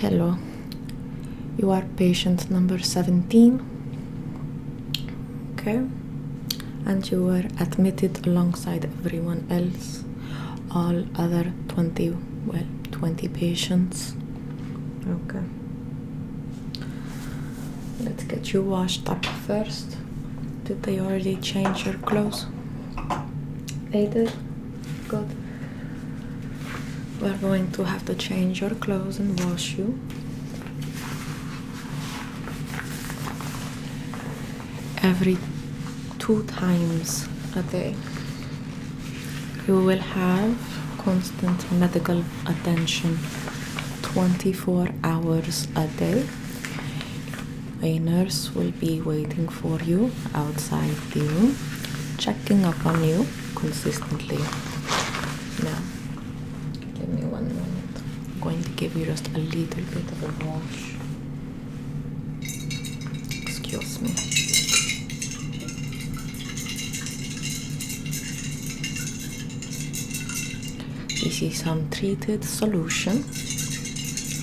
Hello, you are patient number 17. Okay, and you were admitted alongside everyone else, all other 20, well, 20 patients. Okay, Let's get you washed up first. Did they already change your clothes? They Good. We're going to have to change your clothes and wash you. Every two times a day. You will have constant medical attention 24 hours a day. A nurse will be waiting for you outside the room, checking up on you consistently. Now, give me one moment. I'm going to give you just a little bit of a wash. Excuse me. This is some treated solution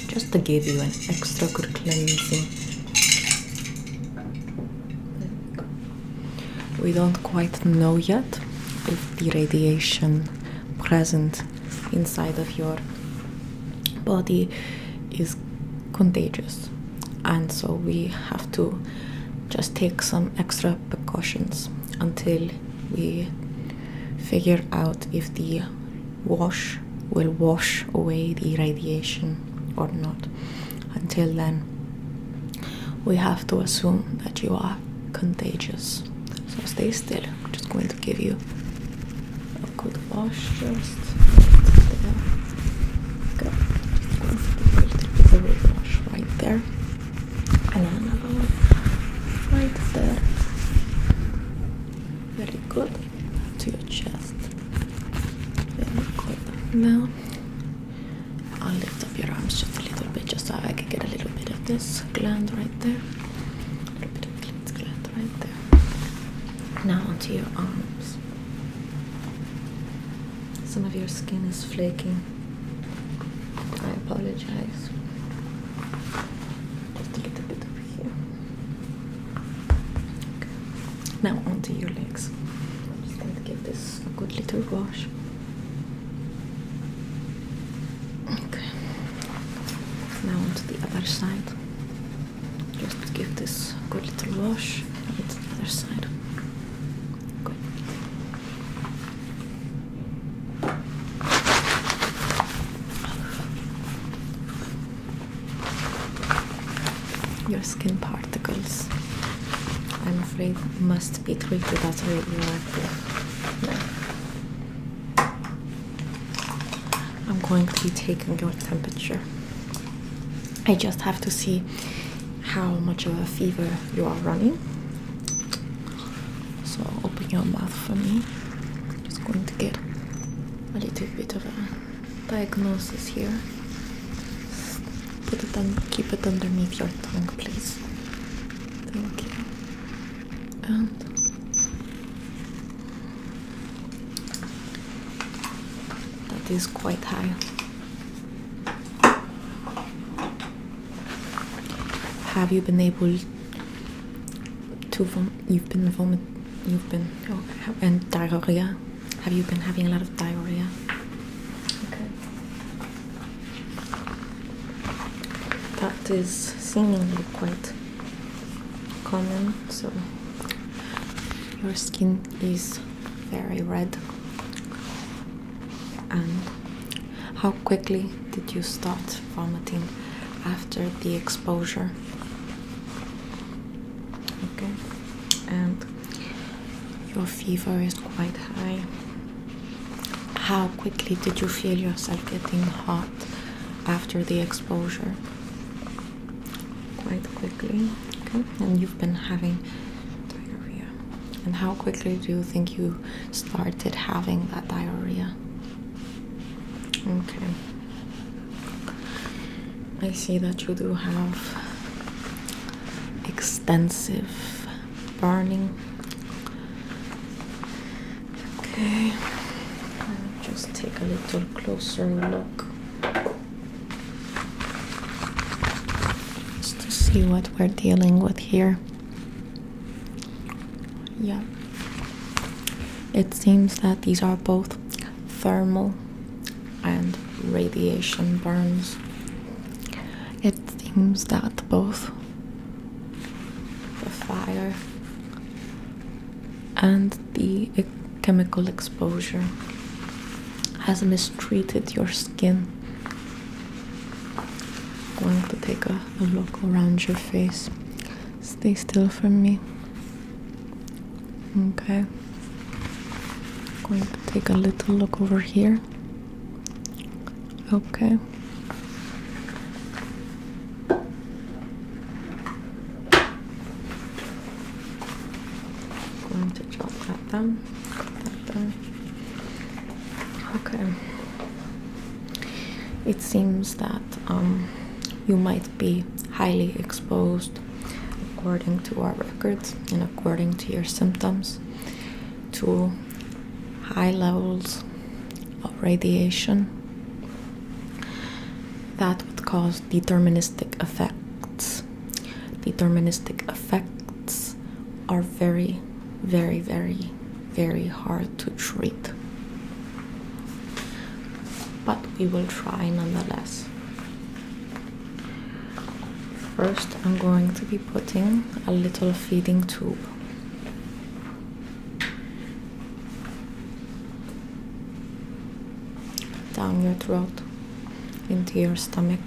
just to give you an extra good cleansing. We don't quite know yet if the radiation present inside of your body is contagious, and so we have to just take some extra precautions until we figure out if the wash will wash away the radiation or not. Until then, we have to assume that you are contagious. So stay still. just going to give you a good wash just Go. Just a little wash right there and another one right there. Very good. To your chest. Very good. Now I'll lift up your arms just a little bit just so I can get a little bit of this gland right there. A little bit of this gland right there. Now onto your arms. Some of your skin is flaking. I apologize. Just a little bit over here. Now onto your legs. I'm just going to give this a good little wash. Okay. Now onto the other side. Just give this a good little wash. It's the other side. Your skin particles, I'm afraid, must be treated as radioactive. No. I'm going to be taking your temperature. I just have to see how much of a fever you are running. So open your mouth for me. I'm just going to get a little bit of a diagnosis here. Put it on, keep it underneath your tongue, please. Thank you. And that is quite high. Have you been able to vom you've been vomiting. you've been oh, and diarrhea? Have you been having a lot of diarrhea? Okay. That is seemingly quite common, so your skin is very red. And how quickly did you start vomiting after the exposure? Okay, and your fever is quite high. How quickly did you feel yourself getting hot after the exposure? Quite quickly, okay, and you've been having diarrhea and how quickly do you think you started having that diarrhea? Okay. I see that you do have extensive burning. Okay, I'll just take a little closer look just to see what we're dealing with here. Yeah. It seems that these are both thermal and radiation burns. It seems that both the fire and the chemical exposure has mistreated your skin I'm going to take a, look around your face. Stay still for me. Okay. I'm going to take a little look over here. Okay. I'm going to jot that down. Mm-hmm. Okay. It seems that um, you might be highly exposed, according to our records and according to your symptoms, to high levels of radiation that would cause deterministic effects. Deterministic effects are very, very, very, very hard to treat. But we will try nonetheless. First, I'm going to be putting a little feeding tube. Down your throat, into your stomach,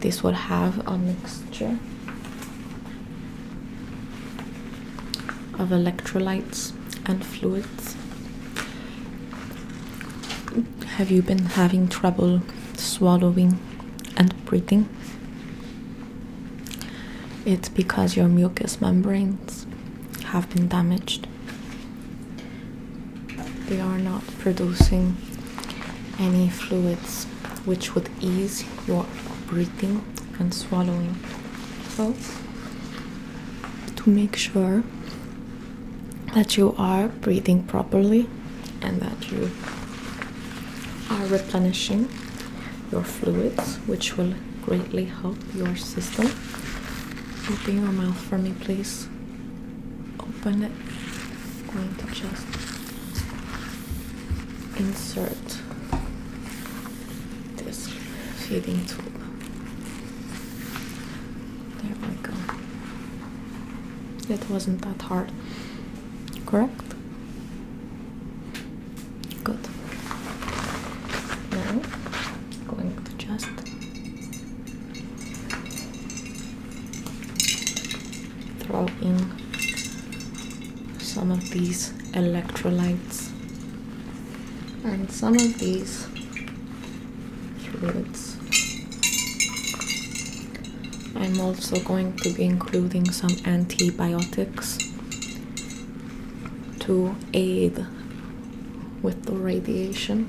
this will have a mixture of electrolytes and fluids. Have you been having trouble swallowing and breathing? It's because your mucous membranes have been damaged. They are not producing any fluids which would ease your breathing and swallowing. So, to make sure that you are breathing properly and that you are replenishing your fluids, which will greatly help your system. Open your mouth for me, please but I'm going to just insert this feeding tool. There we go. That wasn't that hard, correct? Good. Now, I'm going to just throw in some of these electrolytes and some of these fluids. I'm also going to be including some antibiotics to aid with the radiation.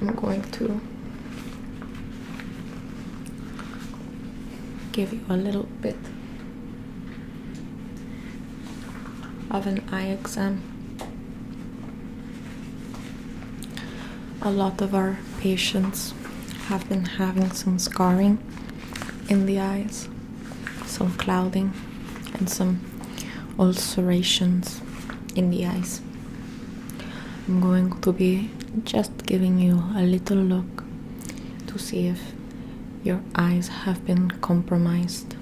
I'm going to give you a little bit of an eye exam. A lot of our patients have been having some scarring in the eyes, some clouding, and some ulcerations in the eyes. I'm going to be just giving you a little look to see if your eyes have been compromised.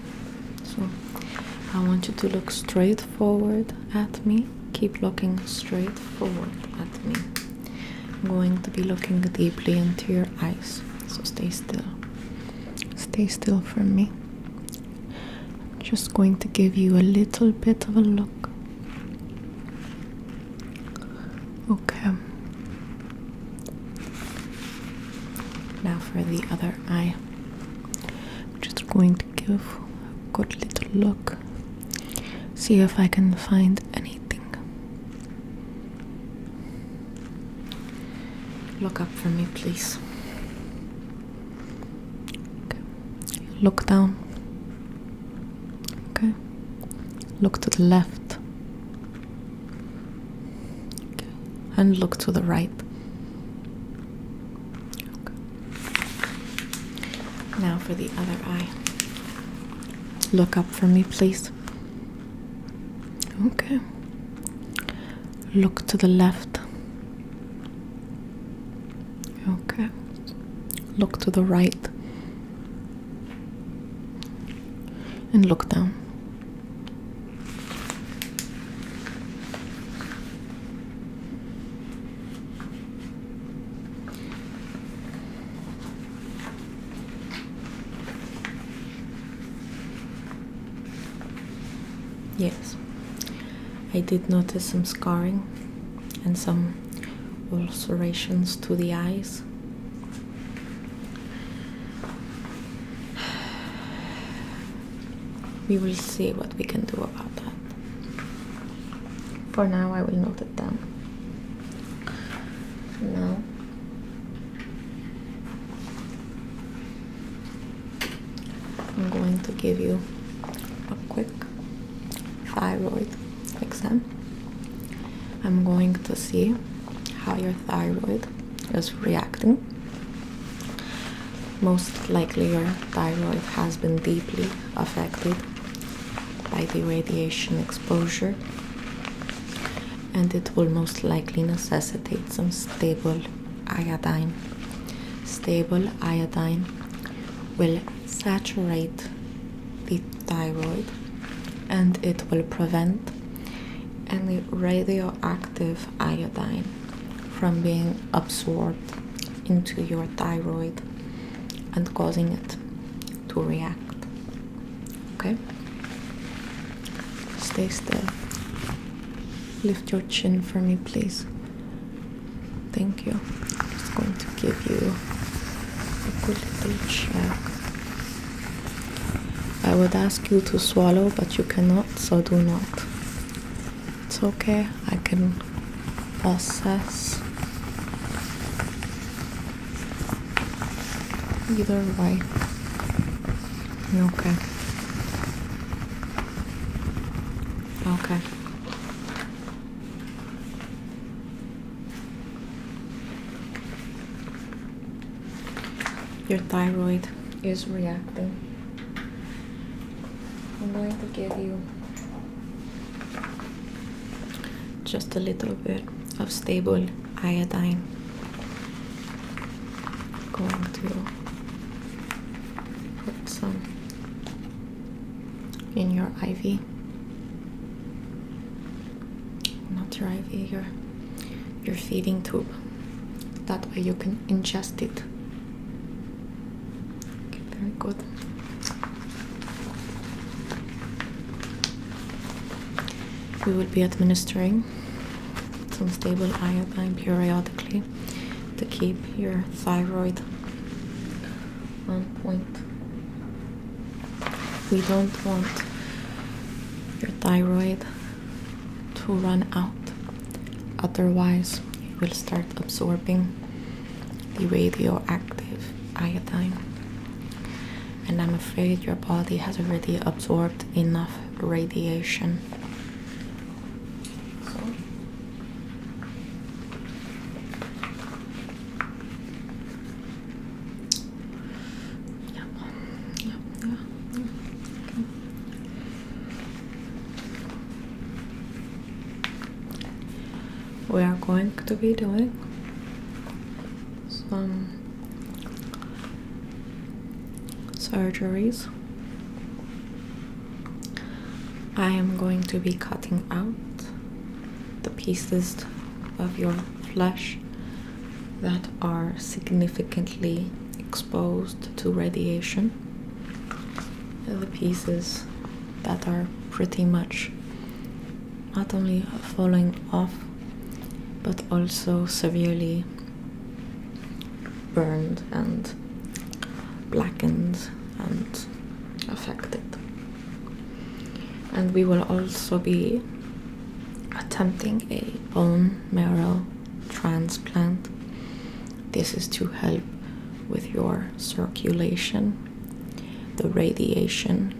So I want you to look straight forward at me. Keep looking straight forward at me. I'm going to be looking deeply into your eyes. So stay still. Stay still for me. I'm just going to give you a little bit of a look. Okay. Now for the other eye. I'm just going to give a good little look. See if I can find anything. Look up for me, please. Okay. Look down. Okay. Look to the left. Okay. And look to the right. Okay. Now for the other eye. Look up for me, please. Okay. Look to the left. Okay. Look to the right and look down. Yes, I did notice some scarring and some ulcerations to the eyes. We will see what we can do about that. For now, I will note it down. Now, I'm going to give you a quick thyroid exam. I'm going to see how your thyroid is reacting. Most likely, your thyroid has been deeply affected by the radiation exposure, and it will most likely necessitate some stable iodine. Stable iodine will saturate the thyroid and it will prevent any radioactive iodine from being absorbed into your thyroid and causing it to react. Okay? Stay still. Lift your chin for me, please. Thank you. I'm just going to give you a good little check. I would ask you to swallow, but you cannot, so do not. It's okay, I can process either way. Okay. Okay. Your thyroid is reacting. I'm going to give you just a little bit of stable iodine going to put some in your IV. Not your IV, your your feeding tube. That way you can ingest it. very good. We will be administering some stable iodine periodically to keep your thyroid one point. We don't want your thyroid to run out, otherwise, you will start absorbing the radioactive iodine. And I'm afraid your body has already absorbed enough radiation we are going to be doing some surgeries I am going to be cutting out the pieces of your flesh that are significantly exposed to radiation, the pieces that are pretty much not only falling off but also severely burned and blackened and affected. And we will also be attempting a bone marrow transplant. This is to help with your circulation. The radiation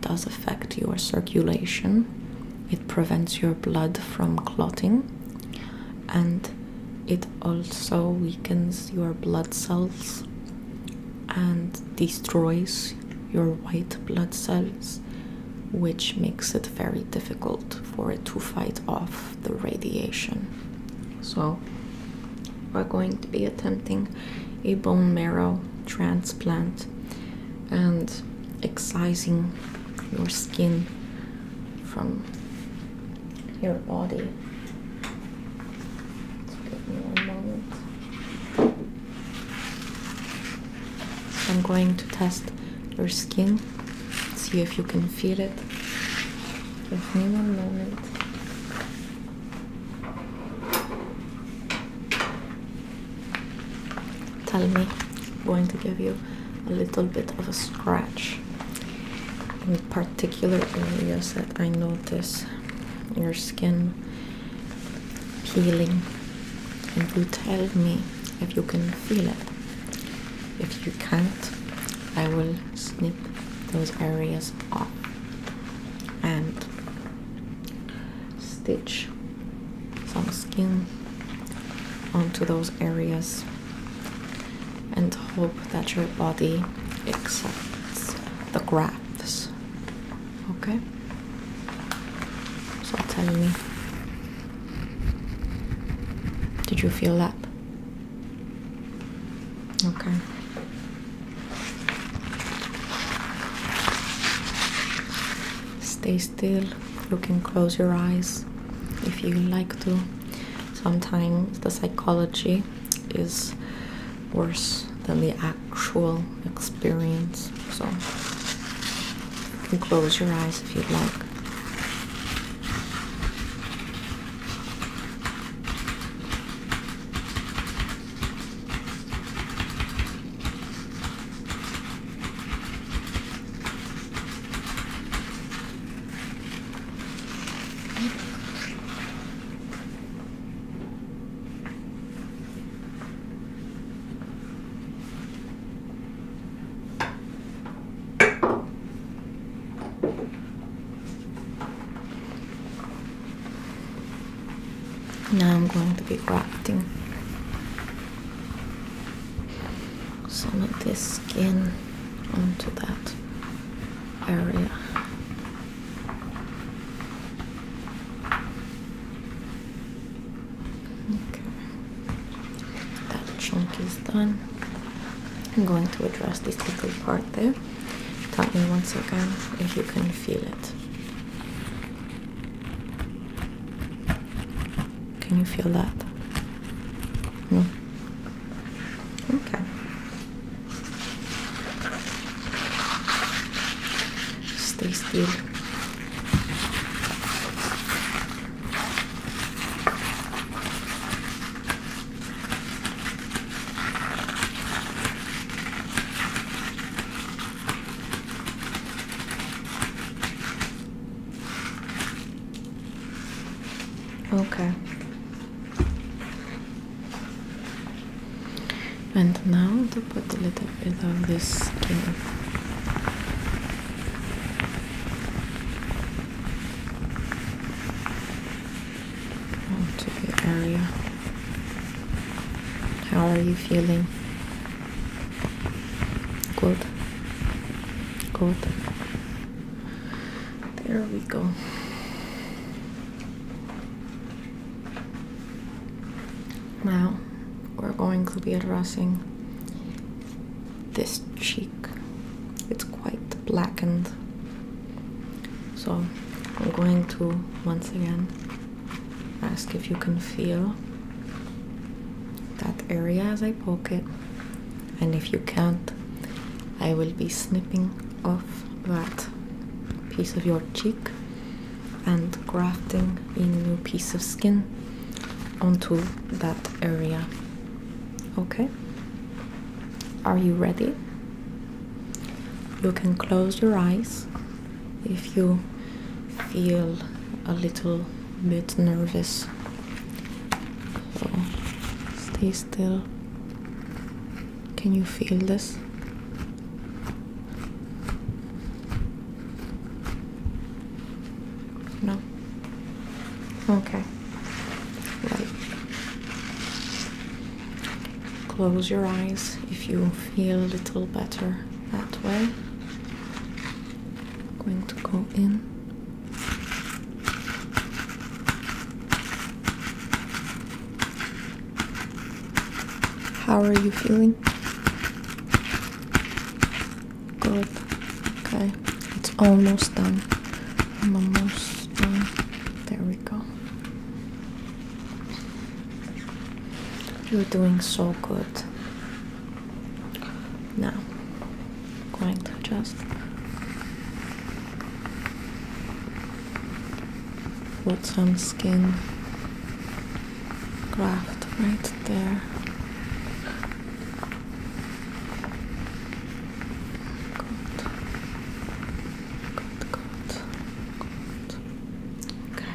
does affect your circulation, it prevents your blood from clotting, and it also weakens your blood cells and destroys your white blood cells, which makes it very difficult for it to fight off the radiation. So, we're going to be attempting a bone marrow transplant and excising your skin from your body. give me one moment. I'm going to test your skin, see if you can feel it. Give me one moment. Tell me, I'm going to give you a little bit of a scratch in particular areas that I notice your skin peeling, and you tell me if you can feel it. If you can't, I will snip those areas off and stitch some skin onto those areas and hope that your body accepts the grafts. Okay? So tell me, did you feel that? Okay. Stay still. You can close your eyes if you like to. Sometimes the psychology is worse than the actual experience. So you can close your eyes if you'd like. Now I'm going to be grafting some of this skin onto that area. Okay. That chunk is done. I'm going to address this little part there. Tell me once again if you can feel it. Can you feel that? No? Okay. Stay still. Okay. And now to put a little bit of this skin. Onto the area. How are you feeling? Good. Good. There we go. Now we're going to be addressing this cheek. It's quite blackened. So I'm going to once again ask if you can feel that area as I poke it and if you can't, I will be snipping off that piece of your cheek and grafting a new piece of skin onto that area. Okay? Are you ready? You can close your eyes if you feel a little bit nervous. stay still can you feel this? No. Okay. Right. Close your eyes if you feel a little better that way. going to go in how are you feeling? Good. Okay. It's almost done. I'm almost done. There we go. You're doing so good. Now, going to just put some skin graft right there. Good. Good, good. Good. Okay.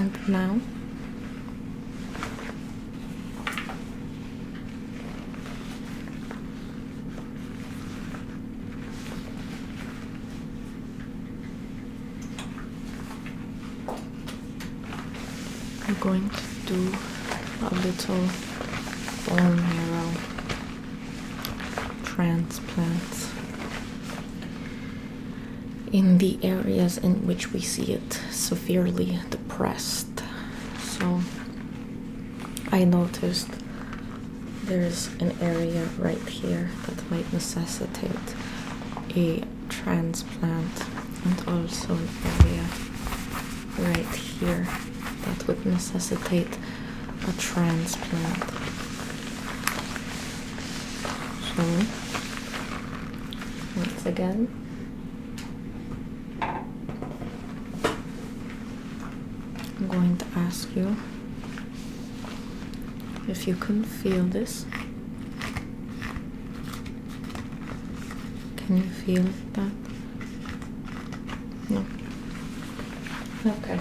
And now we're going to do a little bone marrow transplant in the areas in which we see it severely depressed so I noticed there's an area right here that might necessitate a transplant and also an area right here that would necessitate a transplant so once again I'm going to ask you if you can feel this. Can you feel that? No. Okay.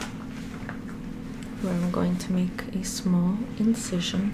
Well, I'm going to make a small incision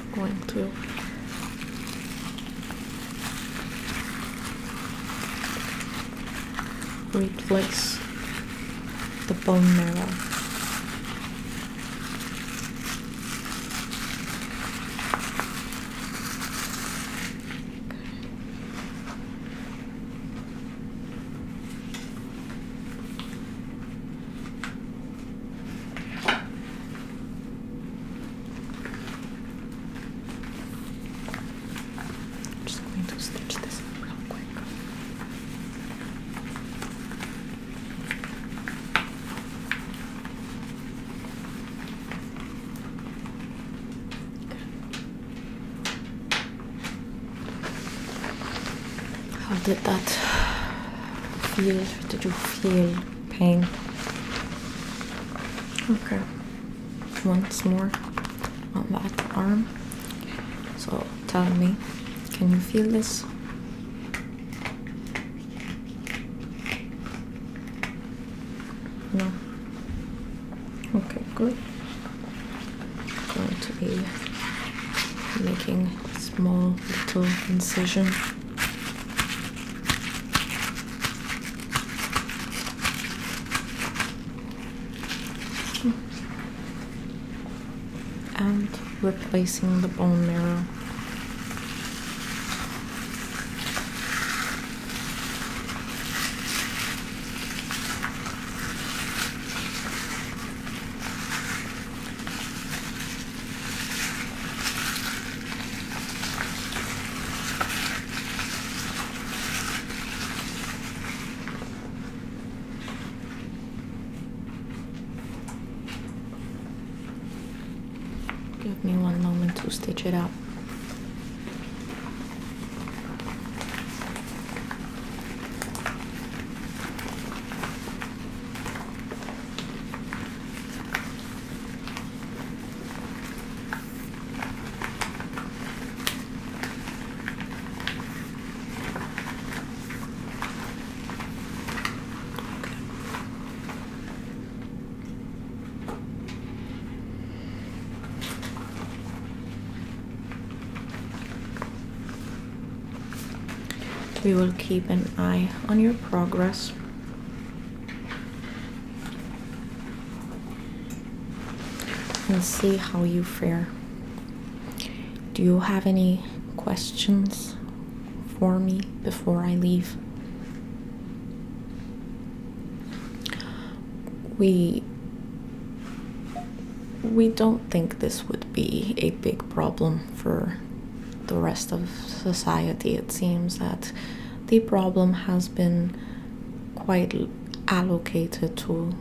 going to replace the bone marrow. I'm just going to stitch this up real quick. How did that feel? Did you feel pain. Okay. Once more on that arm. So tell me, can you feel this? No. Okay, good. going to be making small little incision and replacing the bone marrow. Give me one moment to stitch it up. We will keep an eye on your progress Let's see how you fare. Do you have any questions for me before I leave? We we don't think this would be a big problem for the rest of society. It seems that the problem has been quite allocated to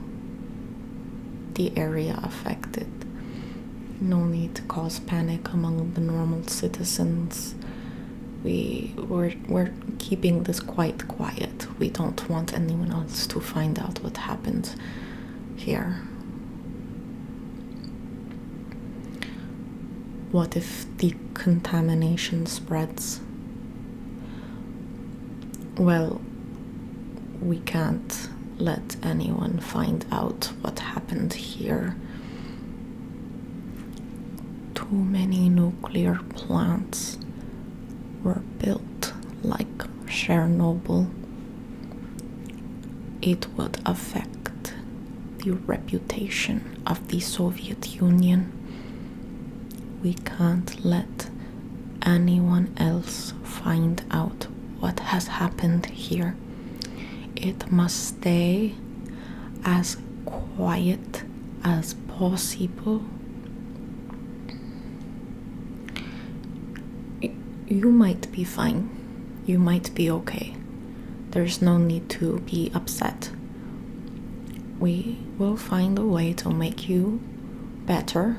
the area affected. No need to cause panic among the normal citizens. We we we're keeping this quite quiet. We don't want anyone else to find out what happened here. What if the contamination spreads? Well, we can't let anyone find out what happened here. Too many nuclear plants were built like Chernobyl. It would affect the reputation of the Soviet Union. We can't let anyone else find out what has happened here. It must stay as quiet as possible. You might be fine you might be okay. There's no need to be upset. We will find a way to make you better,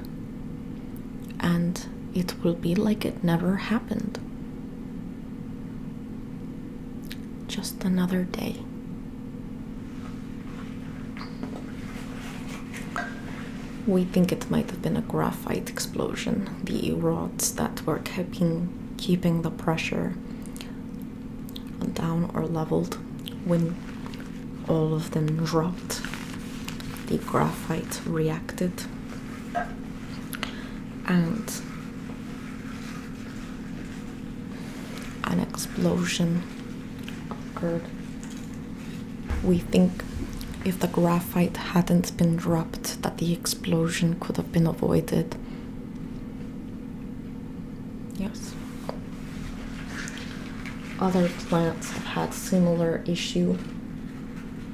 and it will be like it never happened. Just another day. We think it might have been a graphite explosion. The rods that were keeping keeping the pressure down or leveled when all of them dropped the graphite reacted and an explosion occurred we think if the graphite hadn't been dropped that the explosion could have been avoided Yes. Other plants have had similar issue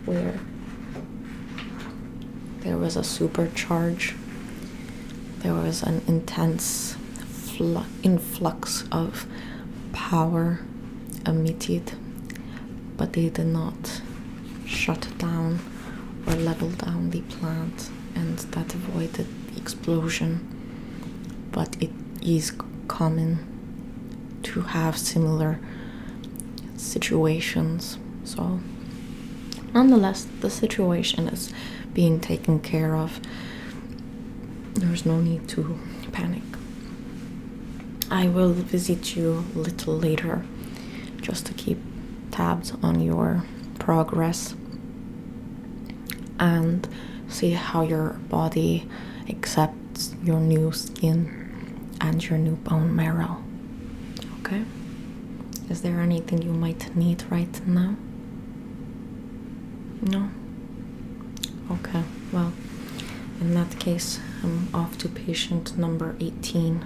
where there was a supercharge. There was an intense influx of power emitted, but they did not shut down down leveled down the plant and that avoided the explosion. But it is common to have similar situations. So, nonetheless, the situation is being taken care of. There's no need to panic. I will visit you a little later just to keep tabs on your progress and see how your body accepts your new skin and your new bone marrow. Okay? Is there anything you might need right now? No? Okay, well, in that case, I'm off to patient number 18